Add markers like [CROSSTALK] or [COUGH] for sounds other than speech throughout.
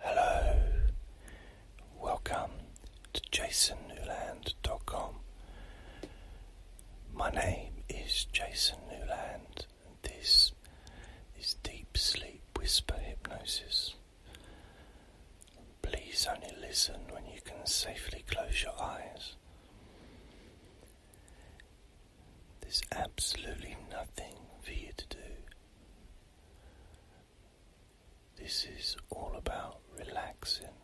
Hello, welcome to jasonnewland.com. My name is Jason Newland, and this is Deep Sleep Whisper Hypnosis. Please only listen when you can safely close your eyes. There's absolutely nothing for you to do. This is all about relaxing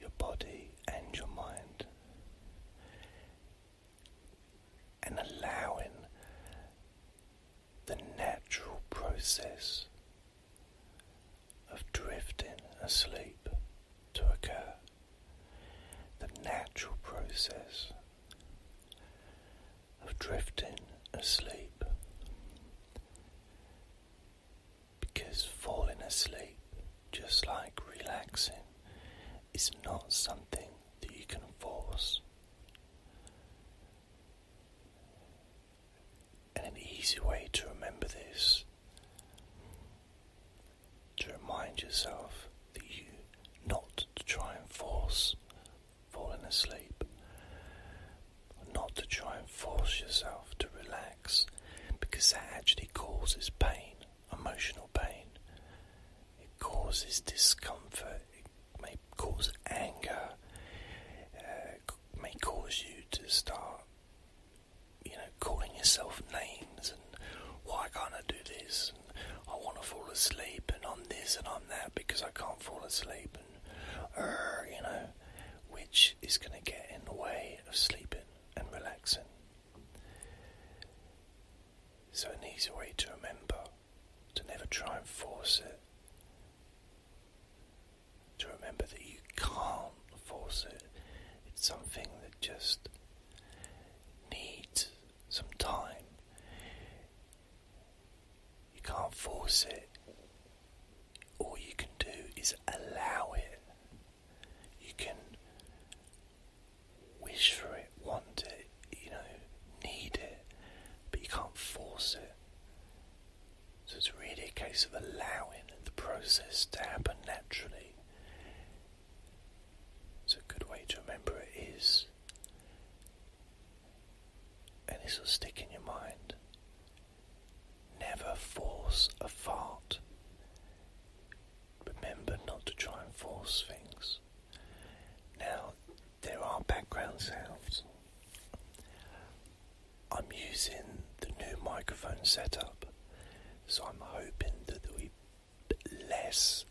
your body and your mind and allowing the natural process of drifting asleep to occur. The natural process of drifting asleep because falling asleep, just like relaxing, is not something that you can force. And an easy way to remember this to remind yourself that you not to try and force falling asleep, not to try and force yourself to relax because that actually causes pain, emotional pain. It causes discomfort, it may cause anger, uh, may cause you to start, you know, calling yourself names and why can't I do this? I want to fall asleep, and I'm this and I'm that because I can't fall asleep, and you know, which is going to get in the way of sleeping and relaxing. So, an easy way to remember to never try and force it, to remember that you can't force it, it's something that just needs some time. You can't force it. All you can do is allow it. You can wish for it, want it, you know, need it, but you can't force it. So it's really a case of allowing the process to happen naturally. So a good way to remember it is, and this will stick in your mind. Never force a fart. Remember not to try and force things. Now, there are background sounds. I'm using the new microphone setup, so I'm hoping that we less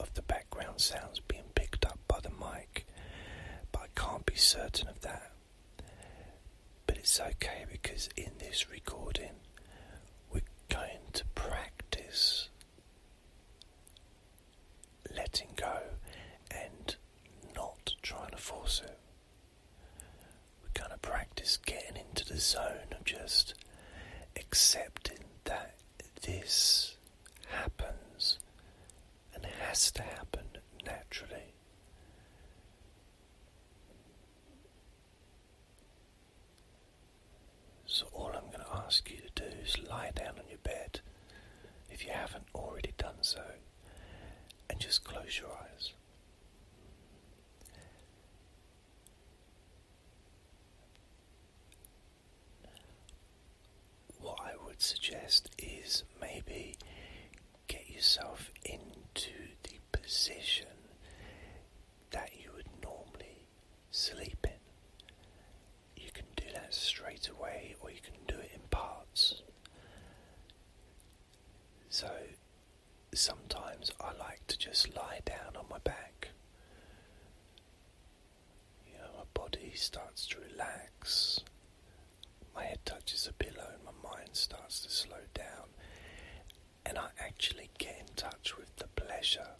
of the background sounds being picked up by the mic, but I can't be certain of that. But it's okay because in this recording, we're going to practice letting go and not trying to force it. We're going to practice getting into the zone of just accepting that this happens and has to happen naturally. So, all I'm going to ask you to do is lie down on your bed if you haven't already done so and just close your eyes. What I would suggest is maybe get yourself into the position that you would normally sleep in. You can do that straight away, or you can do it in parts. So, sometimes I like to just lie down on my back. You know, my body starts to relax, my head touches a pillow, and my mind starts to slow down, and I actually get in touch with the pleasure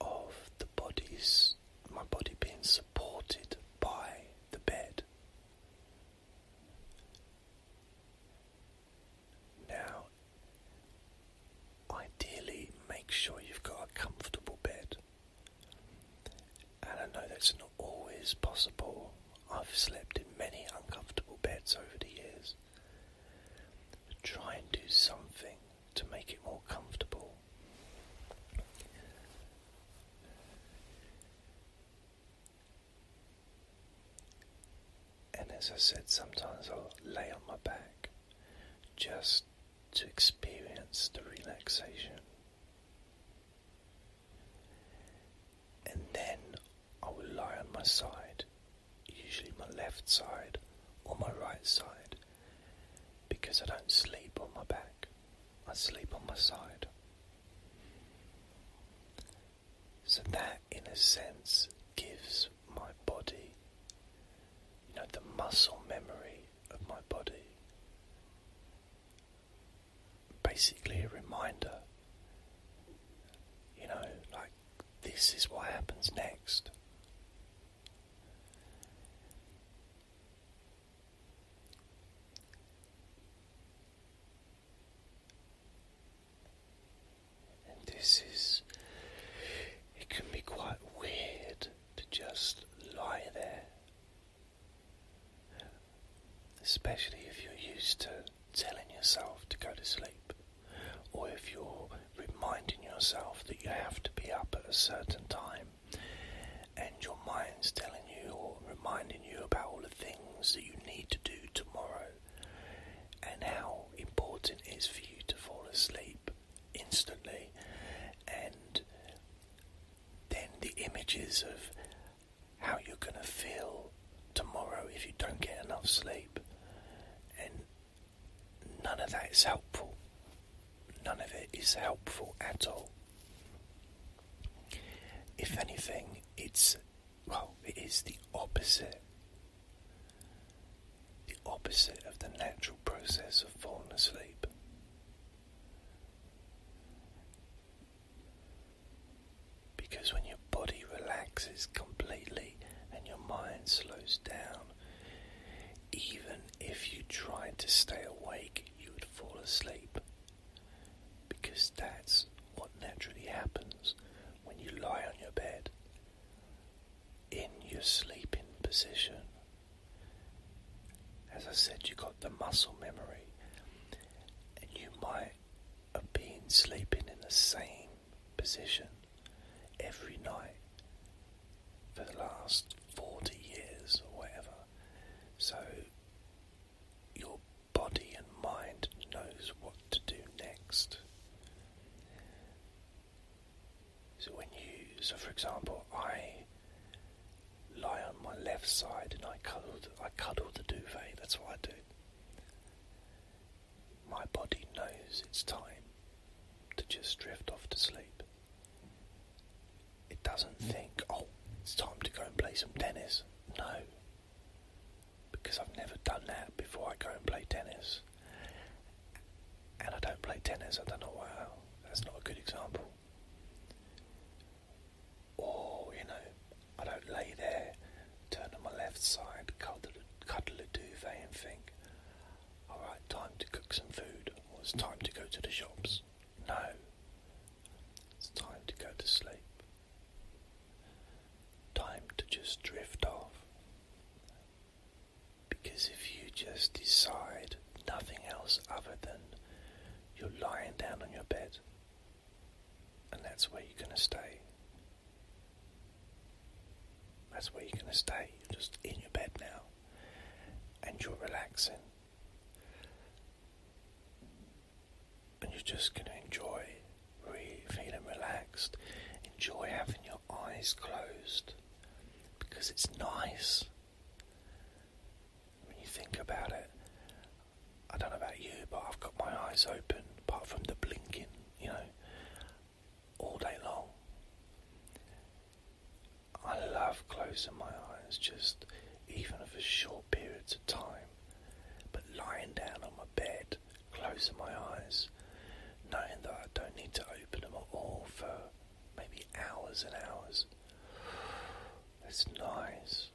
of the body's my body being supported by the bed. Now, ideally, make sure you've got a comfortable bed. And I know that's not always possible. I've slept in many uncomfortable beds over the years. But try and do something to make it more comfortable. And as I said, sometimes I'll lay on my back just to experience the relaxation. And then I will lie on my side, usually my left side or my right side, because I don't sleep on my back, I sleep on my side. So that in a sense, gives my body, you know, the muscle memory of my body, basically a reminder, you know, like this is what happens next. And this is, it can be quite weird to just lie there, especially if you're used to telling yourself to go to sleep, or if you're reminding yourself that you have to be up at a certain time, and your mind's telling you or reminding you about all the things that you need to do tomorrow and how important it is for you to fall asleep instantly, and then the images of how you're going to feel tomorrow if you don't get enough sleep, and none of that is helpful. None of it is helpful at all. If anything, it's well, it is the opposite the opposite of the natural process of falling asleep. Because when your body relaxes completely and your mind slows down, even if you tried to stay awake, you would fall asleep. Because that's what naturally happens when you lie on your bed in your sleeping position. As I said, you got the muscle memory, and you might have been sleeping in the same position every night for the last 40 years or whatever. So your body and mind knows what to do next. So when you, so for example, I lie on my left side and I cuddle, I cuddle the duvet. That's what I do. My body knows it's time to just drift off to sleep. It doesn't hmm. think, oh, it's time to go and play some tennis. No, because I've never done that before I go and play tennis. And I don't play tennis, I don't know why. That's not a good example. Or, you know, I don't lay there, turn on my left side, cuddle, cuddle a duvet and think, alright, time to cook some food, or it's time to go to the shops. No, it's time to go to sleep. Time to just drift off. Because if you just decide nothing else other than you're lying down on your bed, and that's where you're going to stay. That's where you're going to stay. You're just in your bed now, and you're relaxing and you're just going to enjoy feeling relaxed. Enjoy having your eyes closed because it's nice. When you think about it, I don't know about you, but I've got my eyes open, apart from the blinking, you know, all day long. I love closing my eyes, just even for short periods of time. But lying down on my bed closing my eyes, knowing that I don't need to open them at all for maybe hours and hours. It's nice.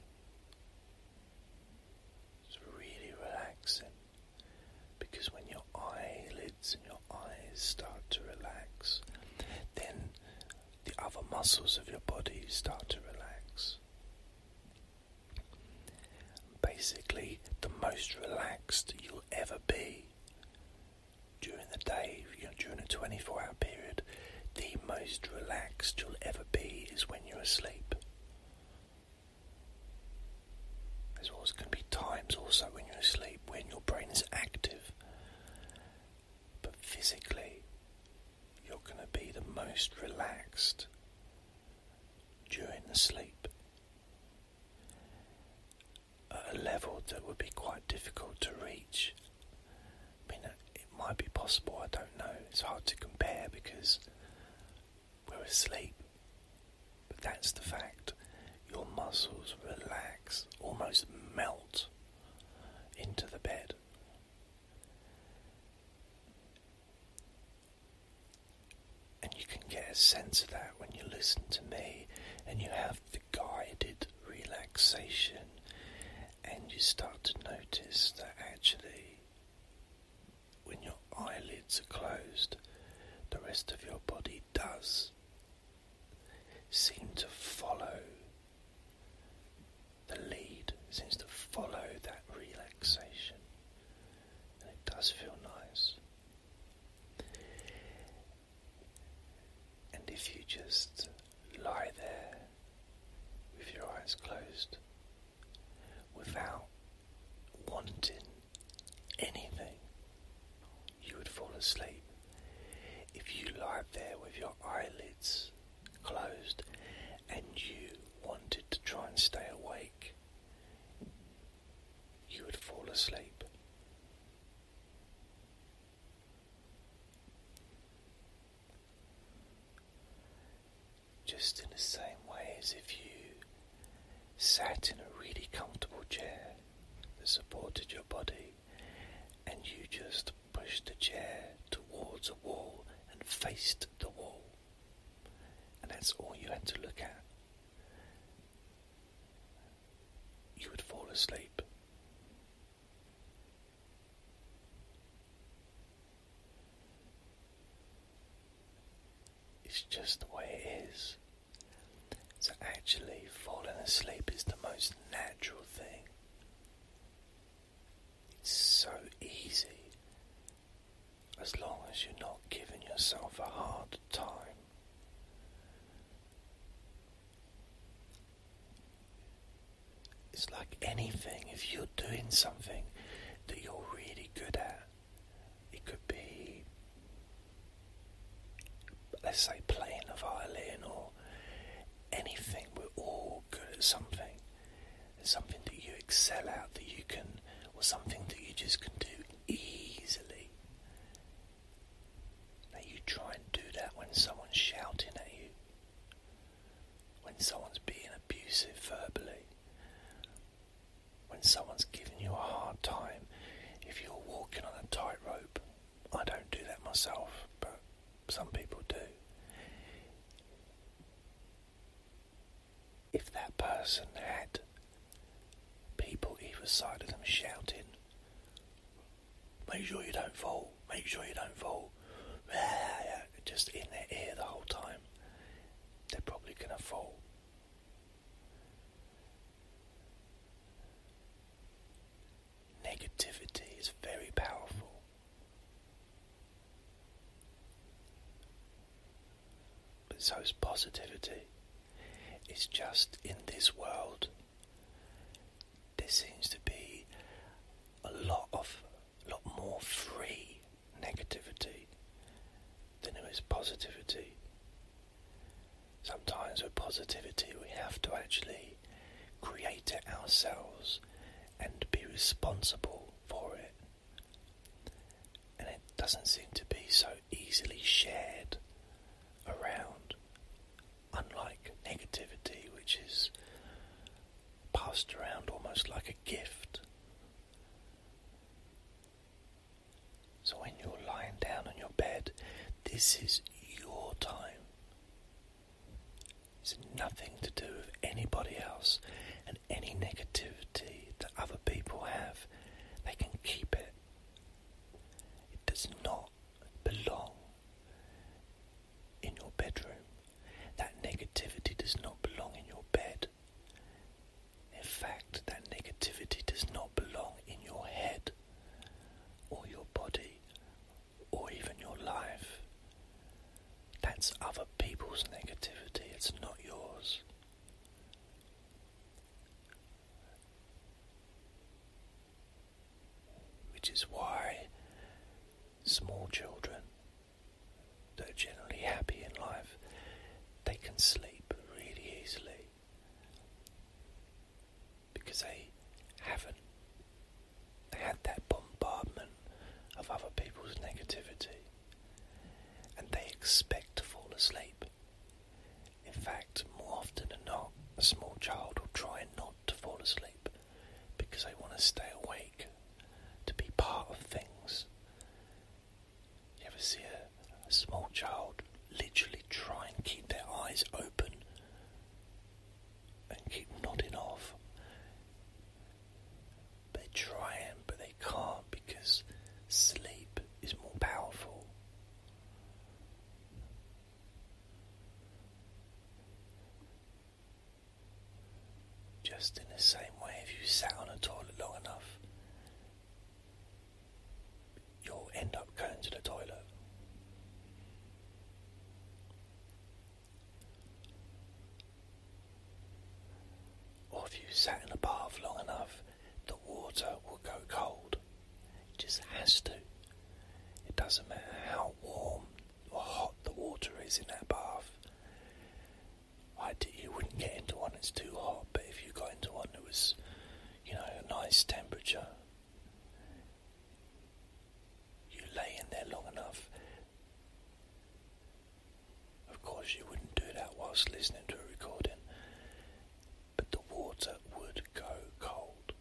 It's really relaxing because when your eyelids and your eyes start to relax, then the other muscles of your body start to relax. Basically, the most relaxed you'll ever be during the day, during a 24 hour period. The most relaxed you'll ever be is when you're asleep. There's always going to be times also when you're asleep when your brain is active, but physically, you're going to be the most relaxed during the sleep at a level that would be quite difficult to reach. I mean, it might be possible, I don't know. It's hard to compare because we're asleep. But that's the fact. Your muscles relax, almost melt into the bed. And you can get a sense of that when you listen to me and you have the guided relaxation and you start to notice that actually when your eyelids are closed the rest of your body does seem to follow the lead seems to follow that relaxation and it does feel nice. And if you just lie there with your eyes closed without wanting anything, you would fall asleep. If you lie there with your eyelids closed and you wanted to try and stay awake, you would fall asleep. Just in the same way as if you sat in a really comfortable chair that supported your body and you just pushed the chair towards a wall and faced the wall and that's all you had to look at, you would fall asleep. It's just the way it is. So, actually, falling asleep is the most natural thing. It's so easy as long as you're not giving yourself a hard time. It's like anything, if you're doing something that you're really good at, it could be, let's say, playing the violin or anything, we're all good at something. There's something that you excel at that you can, or something that you just can do easily. Now you try and do that when someone's shouting at you, when someone's being abusive verbally, when someone's giving you a hard time. If you're walking on a tightrope, I don't do that myself, but some people do if that person had people either side of them shouting, make sure you don't fall, make sure you don't fall, [LAUGHS] just in their ear the whole time, they're probably going to fall. Negativity is very powerful. But so's positivity. It's just in this world, there seems to be a lot of, lot more free negativity than there is positivity. Sometimes with positivity, we have to actually create it ourselves and be responsible for it and it doesn't seem to be so easily shared around, unlike negativity, which is passed around almost like a gift. So, when you're lying down on your bed, this is your time. It's nothing to do with anybody else, any negativity that other people have, they can keep it. It does not belong in your bedroom. That negativity does not belong in your bed. In fact, that negativity does not belong in your head or your body or even your life. That's other people's negativity, it's not yours. Which is why small children that are generally happy in life, they can sleep really easily because they haven't they had that bombardment of other people's negativity and they expect to fall asleep. In fact, more often than not, a small child will try not to fall asleep because they want to stay awake, to be part of things. You ever see a, a small child literally try and keep their eyes open and keep nodding off? They're trying, but they can't because sleep is more powerful. Just in the same way, if you sat on a toilet long enough, you'll end up going to the toilet. Or if you sat in a bath long enough, the water will go cold. It just has to. It doesn't matter how warm or hot the water is in that bath. you wouldn't get into one that's too hot, but if you got into one that was, you know, a nice temperature, you lay in there long enough, of course, you wouldn't do that whilst listening to a recording, but the water would go cold.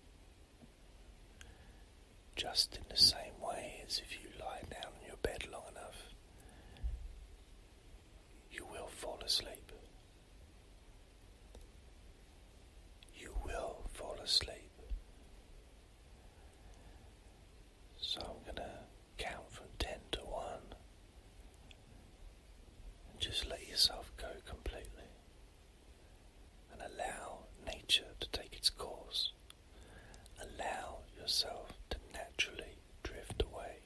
Just in the same way as if you lie down in your bed long enough, you will fall asleep. You will fall asleep. So I'm going to count from 10 to 1 and just let yourself go completely and allow nature to take its course. Allow yourself to naturally drift away.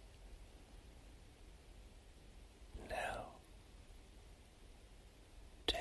Now, 10,